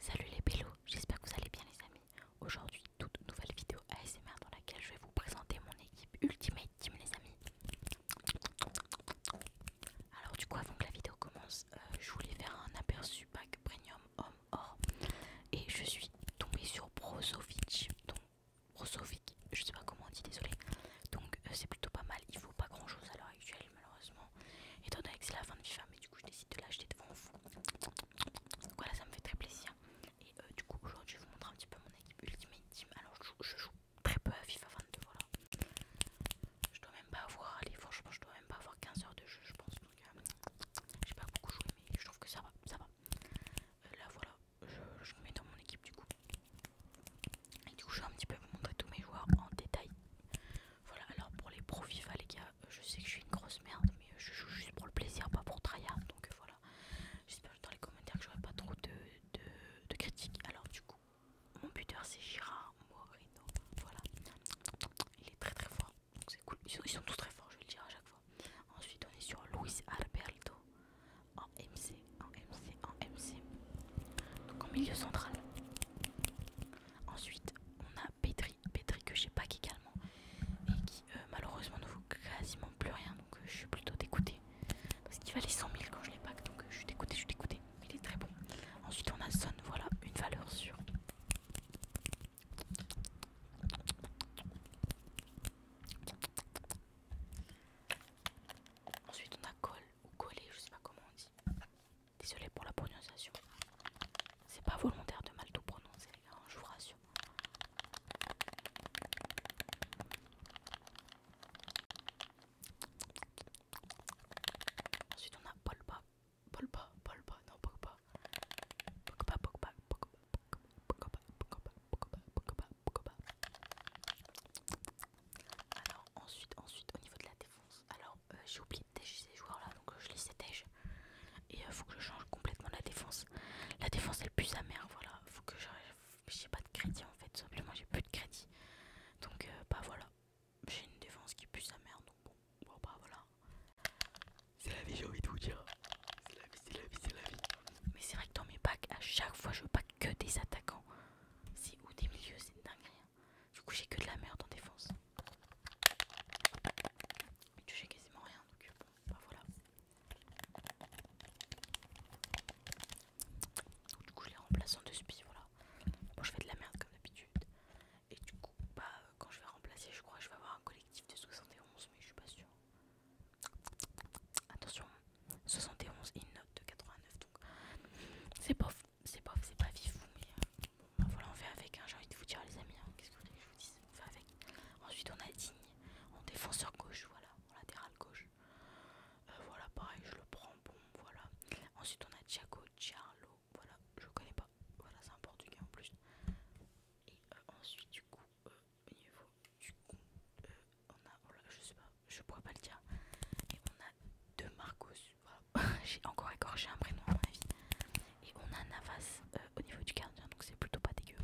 Salut les pélos, j'espère que vous allez bien les amis. Aujourd'hui, toute nouvelle vidéo ASMR dans laquelle je vais vous présenter mon équipe Ultimate Team les amis. Alors du coup, avant que la vidéo commence, euh, je voulais faire un aperçu pack premium homme or et je suis tombée sur Brozovic, donc Brozovic, je sais pas comment on dit, désolé. Donc euh, c'est plutôt pas mal, il faut pas grand chose à l'heure actuelle malheureusement étant donné que c'est la fin de FIFA, mais du coup je décide de l'acheter devant vous. voilà, ça me fait très plaisir. Et euh, du coup, aujourd'hui, je vous montre un petit peu mon équipe Ultimate Alors, je joue, très peu à FIFA 22, voilà. Je dois même pas avoir, allez, franchement, je dois même pas avoir 15 heures de jeu, je pense. Donc, euh, j'ai pas beaucoup joué, mais je trouve que ça va, ça va. Euh, là, voilà, je, me mets dans mon équipe, du coup. Et du coup, je vais un petit peu vous montrer tous mes joueurs en détail. Voilà, alors pour les pro FIFA, hein, les gars, euh, je sais que je suis une grosse merde, mais euh, je joue juste pour le plaisir, pas pour tryhard. Donc euh, voilà, j'espère dans les commentaires que j'aurai pas trop de, critiques. Alors, du coup, mon buteur c'est Girard Moreno. Voilà, il est très très fort, c'est cool. ils sont tous très forts, je vais le dire à chaque fois. Ensuite, on est sur Luis Alberto en MC, en MC, en MC. Donc en milieu central. Ensuite, on a Petri, Petri que j'ai pack également et qui euh, malheureusement ne vaut quasiment plus rien donc euh, je suis plutôt dégoûtée parce qu'il valait 100 000 quand je l'ai pack donc euh, je suis dégoûtée, je suis dégoûtée. il est très bon. Ensuite, on a Son, voilà une valeur sûre. Ensuite, on a colle ou coller je sais pas comment on dit. Désolé pour la prononciation. C'est pas volontaire de mal tout prononcer, les hein, gars, je vous rassure. Ensuite, on a Polpa. Polpa, Polpa, non, alors ensuite, ensuite au niveau de la défense, alors euh, j'ai oublié de dégager ces joueurs là, donc euh, je ces tèche et il euh, faut que je change complètement la défense. La défense elle pue sa mère, voilà, faut que j'ai pas de crédit en fait, simplement j'ai plus de crédit. Donc bah voilà, j'ai une défense qui pue sa mère, donc bon, bah voilà. C'est la vie j'ai envie de vous dire. C'est la vie, c'est la vie, c'est la vie. Mais c'est vrai que dans mes packs, à chaque fois je pack que des attaquants. C'est ou des milieux, c'est dingue. Du coup, j'ai que de la merde en défense. Mais tu sais quasiment rien, donc bah voilà. du coup, je les remplace en deux voilà. Bon, je fais de la merde comme d'habitude. Et du coup, bah, quand je vais remplacer, je crois que je vais avoir un collectif de 71, mais je suis pas sûre. Attention, 71 et une note de 89 donc c'est pas c'est pas c'est pas vif mais euh, bah voilà on fait avec hein, j'ai envie de vous dire les amis hein, qu'est-ce que vous voulez que je vous dise on fait avec ensuite on a Digne en défenseur gauche voilà en latéral gauche euh, voilà pareil je le prends bon voilà ensuite on a Thiago Charlo voilà je connais pas voilà c'est un portugais en plus et euh, ensuite du coup du coup on a, oh je sais pas, je pourrais pas le dire. Et on a deux Marcos, j'ai encore écorché un prénom à ma vie. Et on a Navas euh, au niveau du gardien, donc c'est plutôt pas dégueu.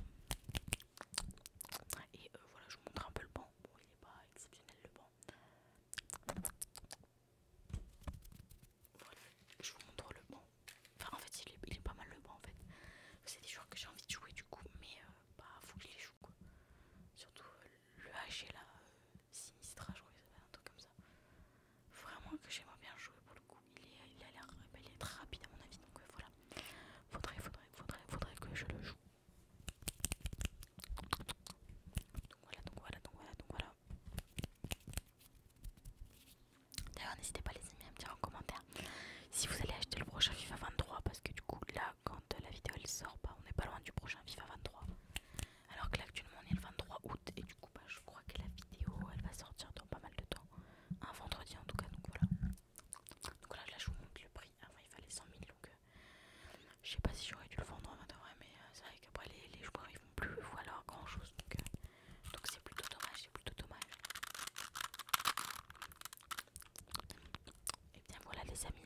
Et euh, voilà, je vous montre un peu le banc. Bon, il est pas exceptionnel le banc. Voilà, je vous montre le banc. Enfin, en fait, il est, pas mal le banc en fait. C'est des joueurs que j'ai envie de jouer du coup, mais euh, bah, faut que je les joue quoi. Surtout le haché là, euh, Sinistra, je crois ça un truc comme ça. Vraiment que j'aime bien jouer pour le coup. Il, est, il a l'air très rapide à mon avis, donc euh, voilà. Faudrait, faudrait, faudrait, faudrait que je le joue. Donc voilà, donc voilà, donc voilà, donc voilà. D'ailleurs, n'hésitez pas les amis à me dire en commentaire si vous allez acheter le prochain FIFA 23 parce que du coup là quand la vidéo elle sort, pas, bah, on n'est pas loin du prochain FIFA 23. Alors que là, actuellement, on est le 23 août et du coup, bah, je crois que la vidéo elle va sortir dans pas mal de temps. Un vendredi en tout cas, donc voilà. Donc là, je vous montre le prix. Avant, il fallait 100 000, donc euh, je sais pas si j'aurais dû le vendre en vrai, mais euh, c'est vrai qu'après les, joueurs ils vont plus voilà grand chose, donc euh, donc c'est plutôt dommage, c'est plutôt dommage. Et bien voilà les amis,